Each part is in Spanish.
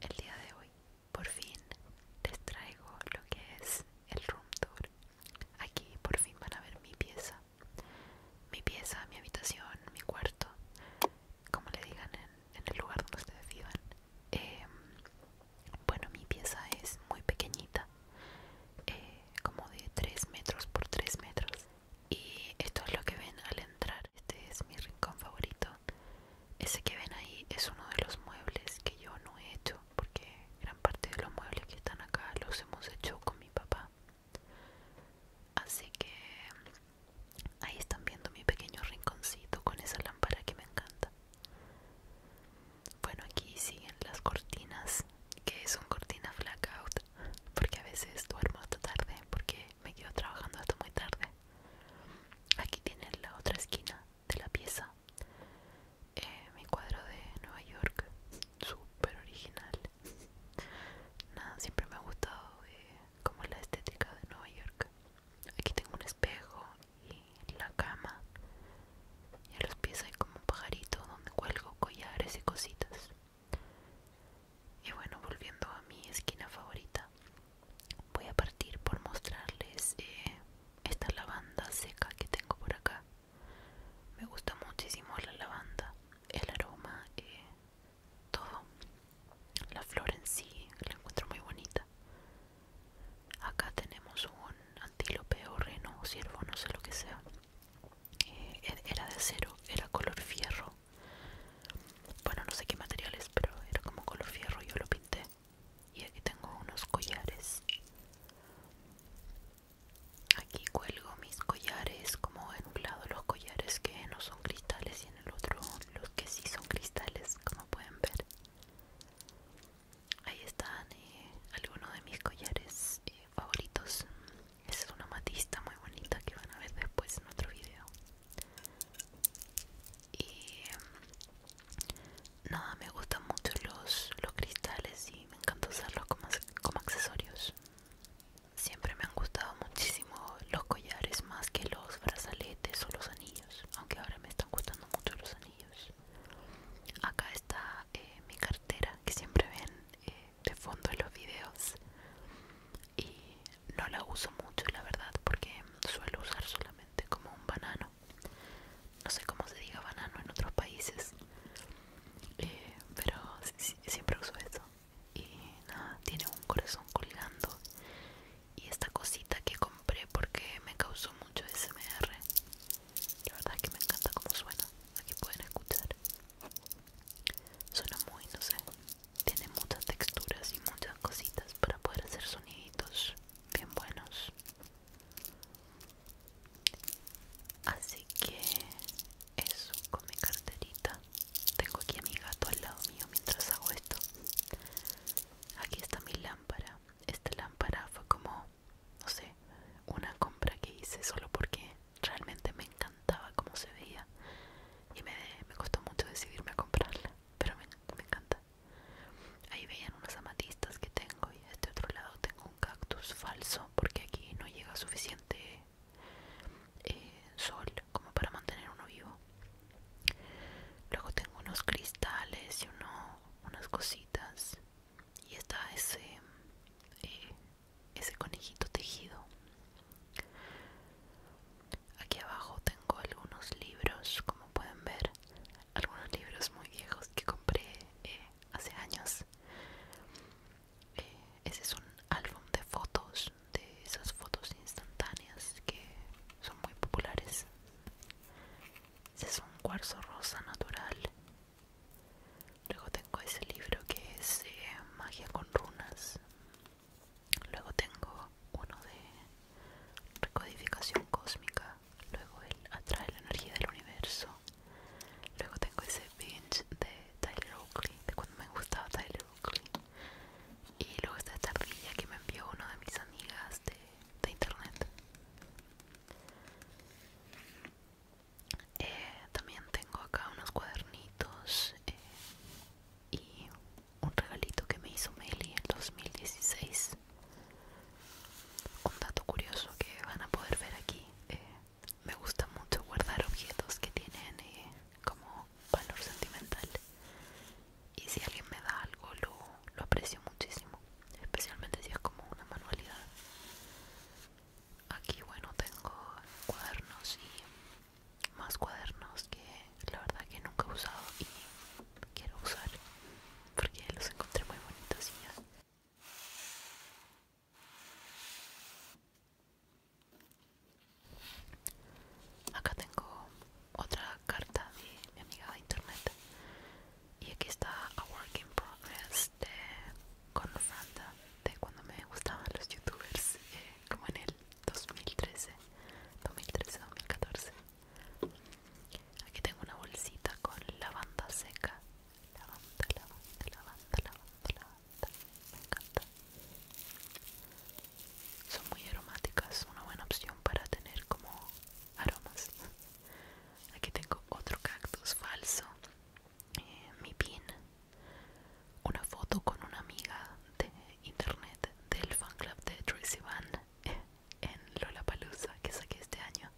El día de hoy, por fin, les traigo lo que es el room tour. Aquí por fin van a ver mi pieza. Mi pieza, mi habitación, mi cuarto, como le digan en, el lugar donde ustedes vivan. Em, bueno, mi pieza es muy pequeñita, eh, como de 3 metros por 3 metros. Y esto es lo que ven al entrar. Este es mi rincón favorito. Ese que ven ahí es uno de los muebles que yo no he hecho, porque gran parte de los muebles que están acá los hemos hecho con mi papá. Así que ahí están viendo mi pequeño rinconcito con esa lámpara que me encanta. Bueno, aquí siguen las cortinas, que son cortinas blackout, porque a veces duermo hasta tarde, porque me quedo trabajando hasta muy tarde. Aquí tienen la otra esquina de la pieza. Eh, mi cuadro de Nueva York, súper original. Nada, siempre me ha gustado eh, como la estética de Nueva York. Aquí tengo un espejo y la cama. Y a los pies hay como un pajarito donde cuelgo collares y cositas. Y bueno, volviendo a mi esquina favorita, voy a partir por mostrarles eh, esta lavanda seca que tengo por acá. Me gusta muchísimo la lavanda, el aroma, y eh, todo. La flor en sí la encuentro muy bonita. Acá tenemos un antílope o reno o ciervo, no sé lo que sea. Eh, era de acero, era color fierro. Bueno, no sé qué materiales, pero era como color fierro, yo lo pinté. Y aquí tengo unos collares. Aquí cuelgo mis collares, como en un lado los collares que no son cristales y en el otro los que sí son cristales, como pueden ver ahí están eh, algunos de mis collares eh, favoritos es una matista muy bonita que van a ver después en otro video em, nada me gustan mucho los, los cristales y me encanta usarlos como, como accesorios siempre me han gustado muchísimo los collares más que los brazaletes o los anillos aunque ahora me están gustando mucho los anillos acá está eh, mi cartera que siempre ven eh, de fondo en los videos y no la uso mucho la verdad porque suelo usar solamente como un banano no sé cómo se diga banano en otros países eh, pero siempre uso eso y nada tiene un corazón colgando y esta cosita que compré porque me causó mucho SMR la verdad es que me encanta cómo suena. Aquí pueden escuchar. Suena muy, no sé. Tiene muchas texturas y muchas cositas para poder hacer soniditos bien buenos. Así que eso con mi carterita. Tengo aquí a mi gato al lado mío mientras hago esto. Aquí está mi lámpara. Esta lámpara fue como no sé, una compra que hice solo porque realmente me encantaba como se veía y me, me costó mucho decidirme a comprarla, pero me, encanta. Ahí veían unos amatistas que tengo y de este otro lado tengo un cactus falso porque aquí no llega suficiente eh, sol como para mantener uno vivo. Luego tengo unos cristales y unos unas cositas y está ese eh, ese conejito tejido aquí abajo tengo algunos libros como pueden ver algunos libros muy viejos que compré eh, hace años eh, ese es un álbum de fotos de esas fotos instantáneas que son muy populares ese es un cuarzo rosa natural. Luego tengo ese libro que es eh, Magia con runas. Luego tengo uno de Recodificación cósmica. Luego el Atrae la energía del universo. Luego tengo ese binge de Tyler Oakley, de cuando me gustaba Tyler Oakley. Y luego esta tablilla que me envió una de mis amigas de internet. Eh, también tengo acá unos cuadernitos eh, y un regalito que me hizo Meli en 2016. Un dato curioso que van a poder ver aquí. Eh, me gusta mucho guardar objetos que tienen como valor sentimental y si alguien me da algo lo, aprecio muchísimo especialmente si es como una manualidad aquí bueno tengo cuadernos y más cuadernos que la verdad que nunca he usado y quiero usar porque los encontré muy bonitos y ya Acá tengo otra carta de mi amiga de internet y aquí está a work in progress de de cuando me gustaban los youtubers eh, como en el 2013 2013 2014 aquí tengo una bolsita con lavanda seca lavanda lavanda lavanda lavanda lavanda me encanta son muy aromáticas una buena opción para tener como aromas. Aquí tengo otro cactus falso, eh, mi pin, una foto con una amiga de internet del fan club de Tracy Van eh, en Lollapalooza que saqué este año.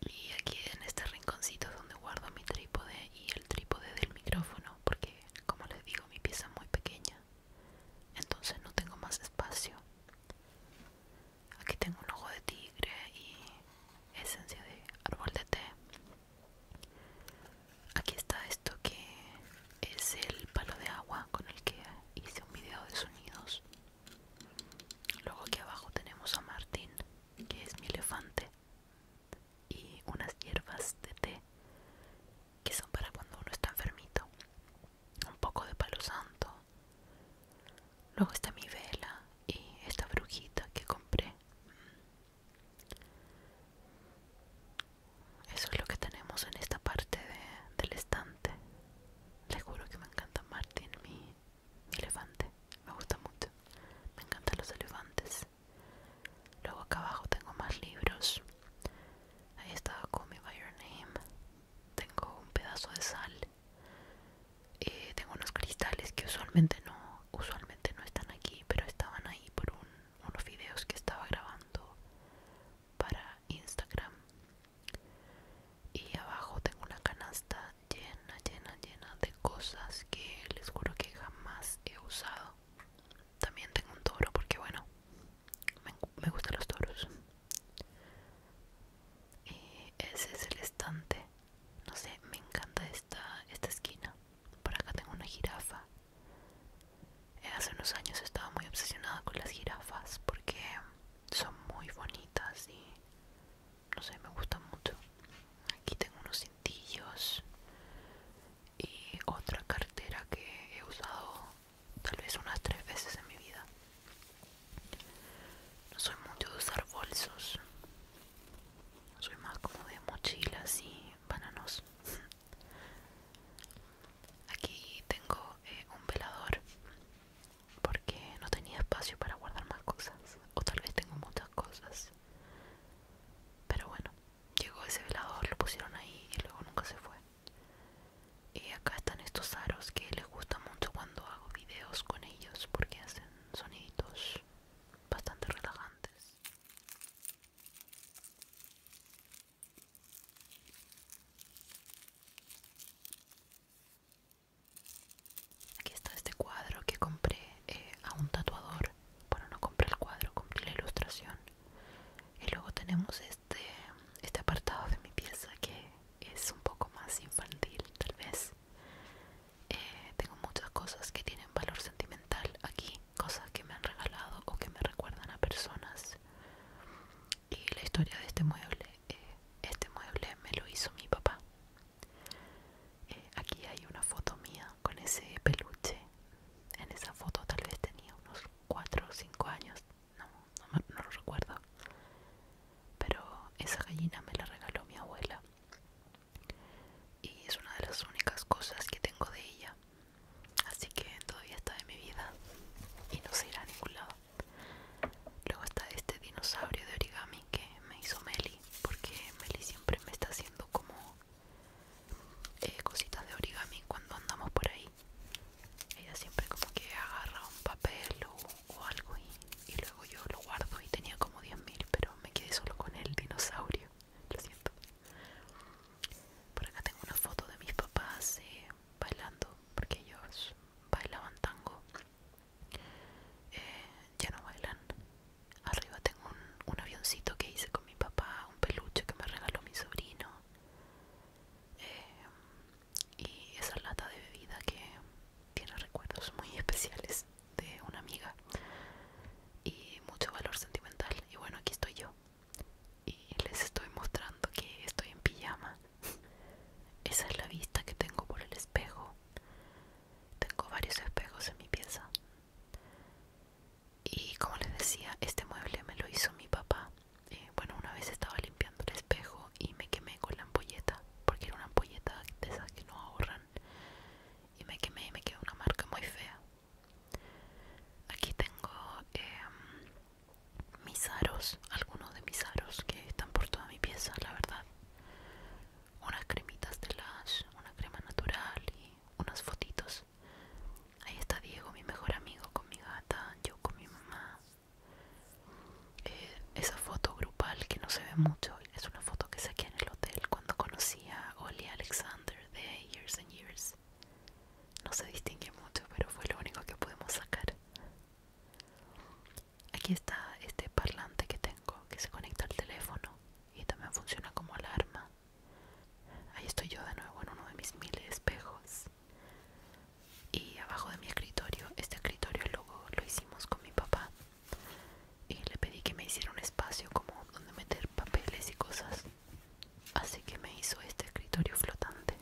Y aquí en este rinconcito es donde guardo mi trípode y el trípode del micrófono porque como les digo mi pieza es muy pequeña entonces no tengo más espacio aquí tengo un ojo de tigre y esencia de árbol de té aquí está esto que es el palo de agua con el que hice un video de sonidos luego aquí abajo tenemos a martín que es mi elefante y unas hierbas de té que son para cuando uno está enfermito. Un poco de palo santo. Luego está mi vela y esta brujita que compré. Eso es lo que tenemos en esta parte de, del estante. Les juro que me encanta Martín mi elefante. Me gusta mucho. Me encantan los elefantes. Luego acá abajo tengo más libros. Ahí estaba con mi By Your Name. Tengo un pedazo de sal. Eh, tengo unos cristales que usualmente no, usualmente no están aquí, pero estaban ahí por unos videos que estaba grabando para Instagram. Y abajo tengo una canasta llena, llena, llena de cosas que les juro que jamás he usado. También tengo un toro porque bueno, me, gustan los toros y ese es el estante no sé me encanta esta esta esquina por acá tengo una jirafa eh, hace unos años estaba muy obsesionada con las jirafas porque son muy bonitas y no sé me gustan mucho aquí tengo unos cintillos y otra cartera que he usado tal vez unas tres veces en mi vida. No soy mucho de usar bolsos. Soy más como de mochilas y bananos. Aquí tengo eh, un velador porque no tenía espacio para guardar más cosas. O tal vez tengo muchas cosas. Pero bueno, llegó ese velador, lo pusieron ahí y luego nunca se fue y acá están estos aros que les gusta mucho cuando hago videos con ellos porque hacen soniditos bastante relajantes aquí está este cuadro que compré eh, a un tatuador bueno no compré el cuadro compré la ilustración y luego tenemos este este apartado de mi pieza que es un poco más infantil tal vez eh, tengo muchas cosas que tienen valor sentimental aquí cosas que me han regalado o que me recuerdan a personas y la historia de este mueble eh, este mueble me lo hizo mi papá eh, aquí hay una foto mía con ese peluche en esa foto tal vez tenía unos 4 o 5 años, no, lo recuerdo. Pero esa gallina me la regaló mi abuela. Y es una de las únicas cosas que tengo de ella. Así que todavía está en mi vida y no se irá a ningún lado. Luego está este dinosaurio de origami que me hizo Meli, porque Meli siempre me está haciendo como eh, cositas de origami cuando andamos por ahí ella siempre como que agarra un papel o, algo y, luego yo lo guardo y tenía como 10.000 pero me quedé solo con el dinosaurio lo siento por acá tengo una foto de mis papás eh, bailando porque ellos bailaban tango eh, ya no bailan arriba tengo un avioncito que hice con mi papá un peluche que me regaló mi sobrino eh, y esa lata de bebida que tiene recuerdos muy especiales de una amiga y mucho valor sentimental y bueno aquí estoy yo y les estoy mostrando que estoy en pijama esa es la vista que tengo por el espejo tengo varios espejos en mi pieza y como les decía este mueble me lo hizo mi papá eh, bueno una vez estaba limpiando el espejo y me quemé con la ampolleta porque era una ampolleta de esas que no ahorran y me quemé y me quedó una marca muy fea aquí tengo em, mis aros algunos de mis aros que están por toda mi pieza la verdad unas cremitas de las una crema natural y unas fotitos Ahí está Diego, mi mejor amigo, con mi gata, yo con mi mamá. Eh, esa foto grupal que no se ve mucho es una foto que saqué en el hotel cuando conocí a Oli Alexander de Years and Years. No se distingue mucho, pero fue lo único que pudimos sacar. Aquí está este parlante que tengo que se conecta al teléfono y también funciona como alarma. Ahí estoy yo de nuevo en uno de mis mil espejos. Y abajo de mi escritorio, este escritorio luego lo hicimos con mi papá. Y le pedí que me hiciera un espacio como donde meter papeles y cosas. Así que me hizo este escritorio flotante.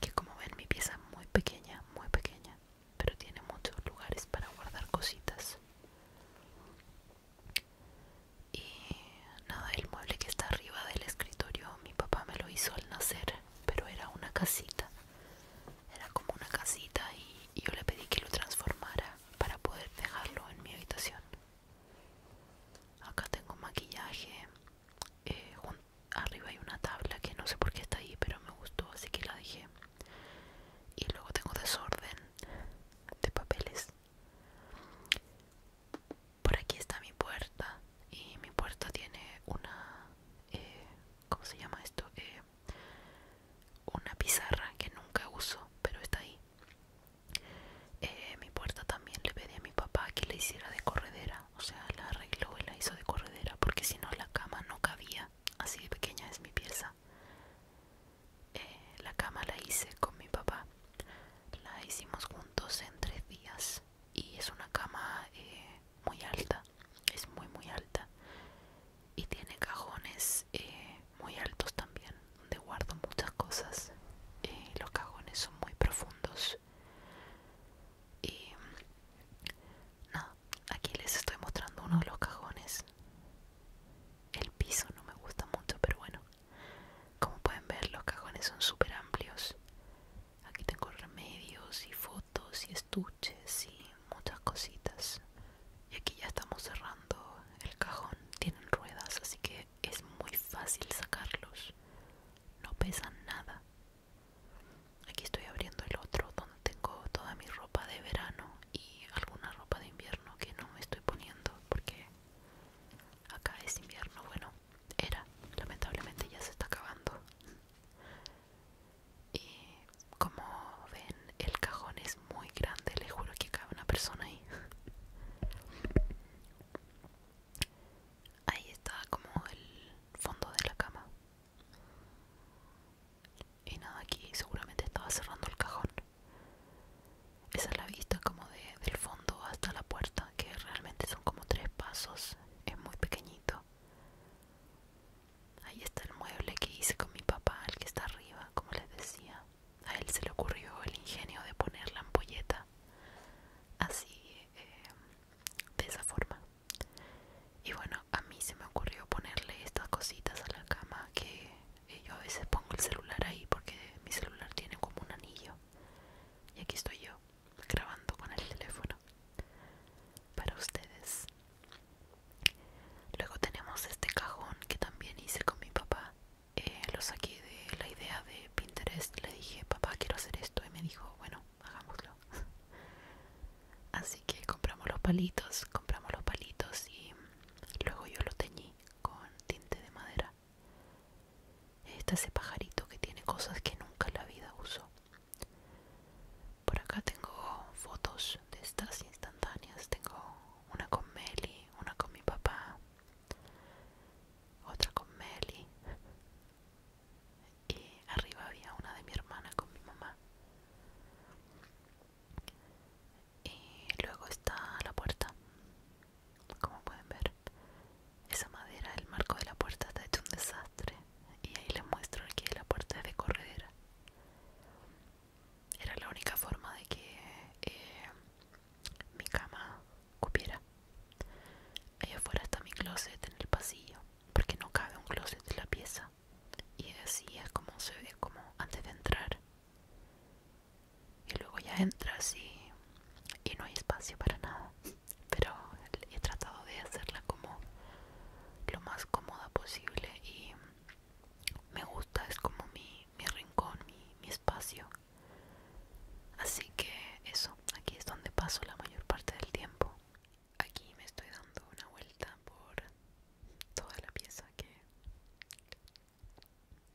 Que como ven mi pieza muy pequeña, muy pequeña. Pero tiene muchos lugares para guardar cositas y nada el mueble que está arriba del escritorio mi papá me lo hizo al nacer pero era una casita era como una casita y, yo le pedí que lo transformara para poder dejarlo en mi habitación acá tengo maquillaje eh, arriba hay una tabla que no sé por qué está ahí pero me gustó así que la dejé y luego tengo desorden de papeles por aquí está mi puerta y mi puerta tiene una... Eh, ¿Cómo se llama esto? Eh, una pizarra que nunca uso, pero está ahí. Eh, mi puerta también le pedí a mi papá que la hiciera de corredera, o sea, la arregló y la hizo de corredera porque si no la cama no cabía, así de pequeña es mi pieza. Eh, la cama la hice con mi papá la hicimos juntos en tres días y es una cama eh, muy alta es muy muy alta y tiene cajones eh, muy altos también donde guardo muchas cosas los cajones son muy profundos y mm, nada aquí les estoy mostrando uno de los cajones el piso no me gusta mucho pero bueno como pueden ver, los cajones son super amplios. Aquí tengo remedios y fotos y estuches y muchas cositas. Y aquí ya estamos cerrando el cajón. Tienen ruedas, así que es muy fácil sacarlos. No pesan nada. Aquí estoy abriendo el otro donde tengo toda mi ropa de verano y alguna ropa de invierno que no me estoy poniendo porque Acá es invierno, bueno, era, lamentablemente ya se está acabando. Y como ven, el cajón es muy grande, les juro que cabe una persona ahí. Ahí está como el fondo de la cama. Y nada, aquí seguramente estaba cerrando el cajón. Esa es la vista como de, del fondo hasta la puerta, que realmente son como tres pasos, es muy pequeñito. Ahí está el mueble que hice con mi papá, el que está arriba, como les decía. A él se le ocurrió el ingenio de poner la ampolleta así, em, de esa forma. Y bueno, a mí se me ocurrió ponerle estas cositas a la cama que yo a veces pongo el celular ahí porque mi celular tiene como un anillo y aquí estoy yo grabando con el teléfono para ustedes luego tenemos este cajón que también hice con mi papá eh, lo saqué de la idea de Pinterest le dije papá quiero hacer esto y me dijo bueno hagámoslo así que compramos los palitos compramos los palitos y luego yo lo teñí con tinte de madera. Está ese pajarito que tiene cosas que nunca en la vida usó. Por acá tengo fotos de estas instantáneas. Tengo una con Meli, una con mi papá, otra con Meli. Y arriba había una de mi hermana con mi mamá y luego está la puerta como pueden ver esa madera el marco de la puerta está hecho un desastre y ahí les muestro que la puerta es de corredera era la única forma de que eh, mi cama cupiera Ahí afuera está mi closet en el pasillo porque no cabe un closet en la pieza y así es como se ve como antes de entrar y luego ya entras y, y no hay espacio para nada. Pero he tratado de hacerla como lo más cómoda posible y me gusta, es como mi, rincón, mi espacio. Así que eso, aquí es donde paso la mayor parte del tiempo. Aquí me estoy dando una vuelta por toda la pieza que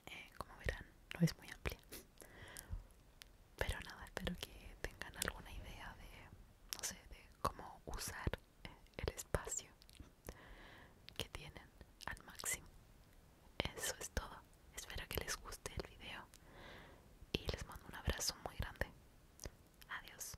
eh, como verán no es muy amplia pero nada espero que tengan alguna idea de no sé de cómo usar eh, el espacio que tienen al máximo eso es todo espero que les guste el video y les mando un abrazo muy grande adiós